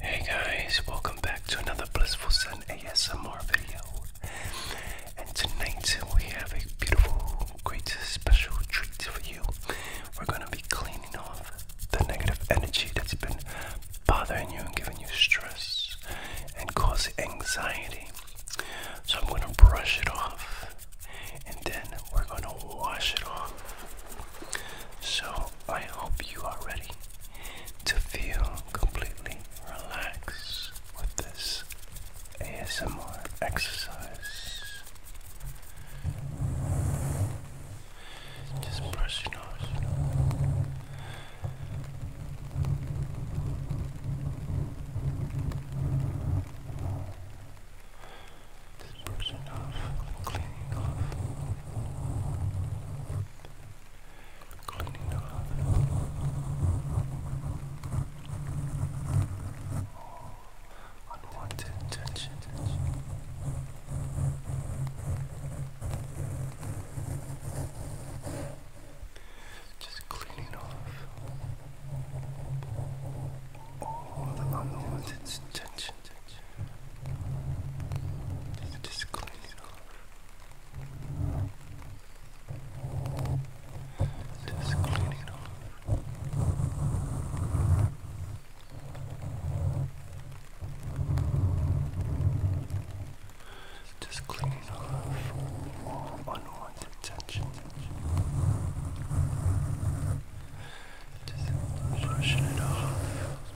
Hey guys, welcome back to another Blissful Sun ASMR video. And tonight we have a beautiful, great, special treat for you. We're going to be cleaning off the negative energy that's been bothering you and giving you stress and causing anxiety. So I'm going to brush it off and then we're going to wash it off. So I hope you are ready to feel completely relaxed with this ASMR exercise. Just brush your nose. This person off, cleaning off, cleaning off oh, unwanted tension. tension. Just cleaning off all the unwanted tension. Just, cleaning off. Just cleaning off. Just cleaning off all unwanted tension. Just brushing it off.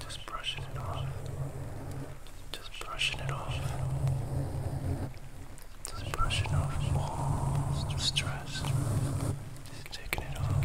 Just brushing it off. Just brushing it off. Just brushing off all stress. Just taking it off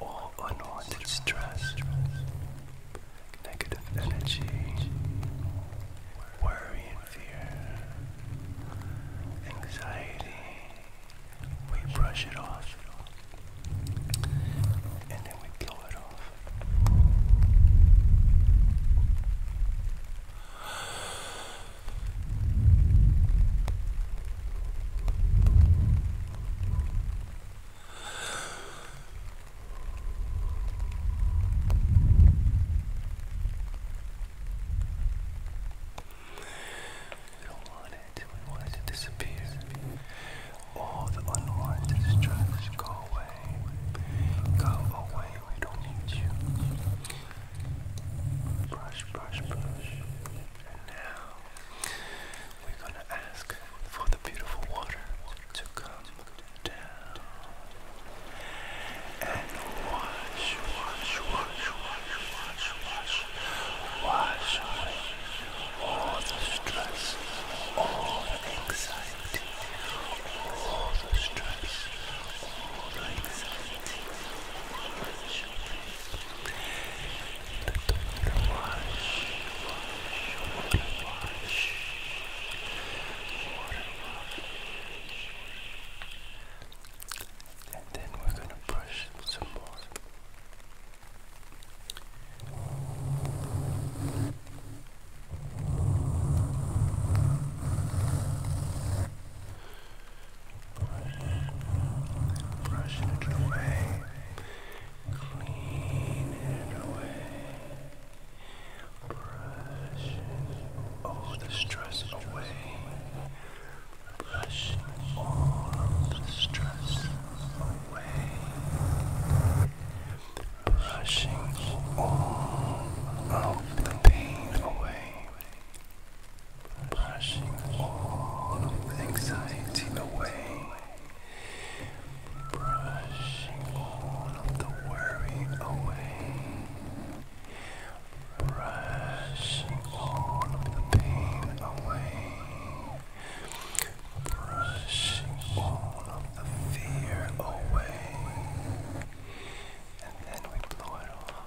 all unwanted stress, negative energy, worry and fear, anxiety. We brush it off and then we blow it off. We don't want it. We want it to disappear. All the unwanted stress, go away. Go away. We don't need you. Brush, brush, brush. And now we're going to ask for the beautiful water to come down and wash, wash, wash, wash, wash, wash, wash away all the stress, all the anxiety, all the stress, all the anxiety. The tomato wash, wash, wash, wash. And then we're going to brush some more. Brush it away. Clean it away. Brush all the stress away. Brush all the stress away. Brushing all the pain away brushing all anxiety away, brushing all of the worry away, brushing all of the pain away, brushing all of the fear away, and then we blow it off.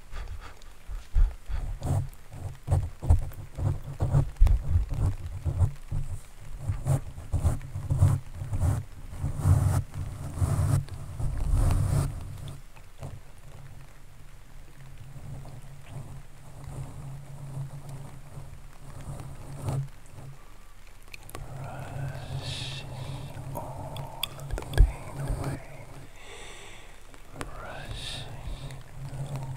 Brushing all the pain away brushing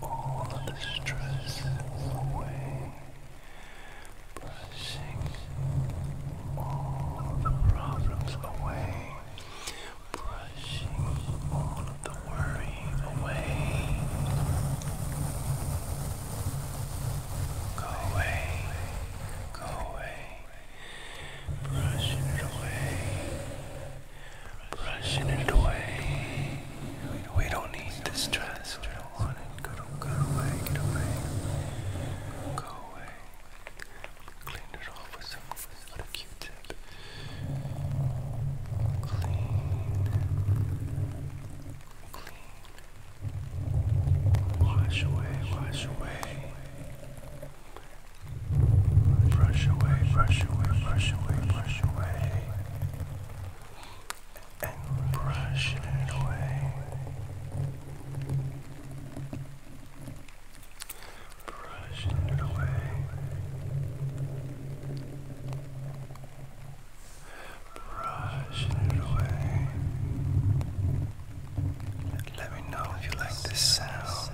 all of the stress away, brushing all of the problems away, brushing all of the worry away. Go away, go away, brushing it away brushing it away. We, don't need this dress. we don't want it. away, get away. Go away. Clean it off with some with a Q-tip. Clean. Clean. Wash away, wash away. Brush away, brush away, brush away, brush away. And brush it away. Brush it away. Brush it away. Let me know if you like this sound.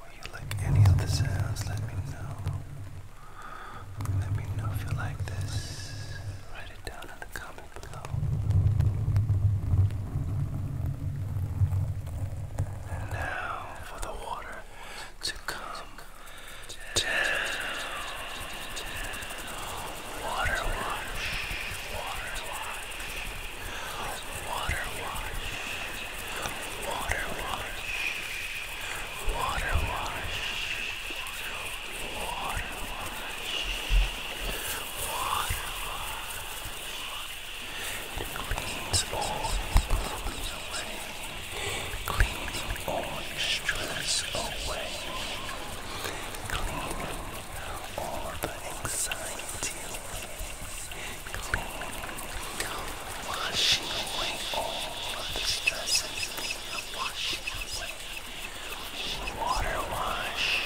Would you like any of the sounds? Let me know. Let me know if you like this. Write it down in the comment below. And now for the water to come down. water wash, Water wash. Water wash. Water wash. Water wash. Water wash. It cleans all problems away. Cleans all stress away. Cleaning all the anxiety away and clean, washing away all of the Water wash,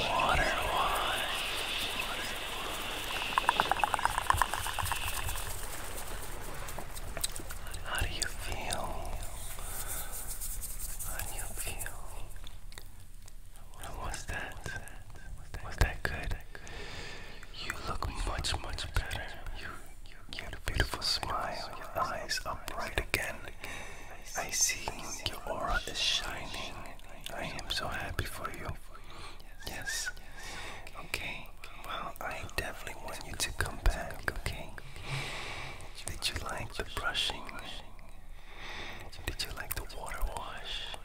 water wash. How do you feel? How do you feel? How was that? Was that good? You look much, much better. You, you have a beautiful smile. Your eyes are bright again. I see your aura is shining. I am so happy for you. Yes. Okay. Well, I definitely want you to come back. Okay. Did you like the brushing? Did you like the water wash?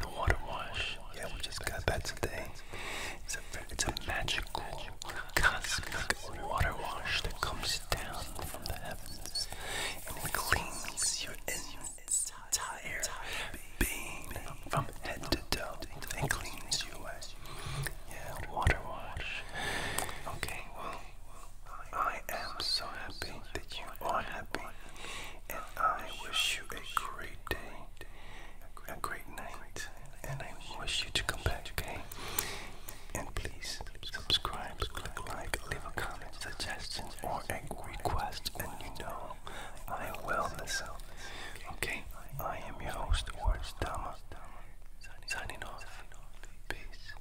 the water wash. Yeah, we just got that today. It's a magical cosmic water wash that comes down from the heavens and cleans your entire being from head to toe and cleans you away. Yeah, water wash. Okay, I am so happy that you are happy, and I wish you a great day, a great night, and I wish you to come back, okay? And please subscribe, click like, leave a comment, suggestion, or a request, and you know I will listen, okay? I am your host, Words Dama, signing off. Peace.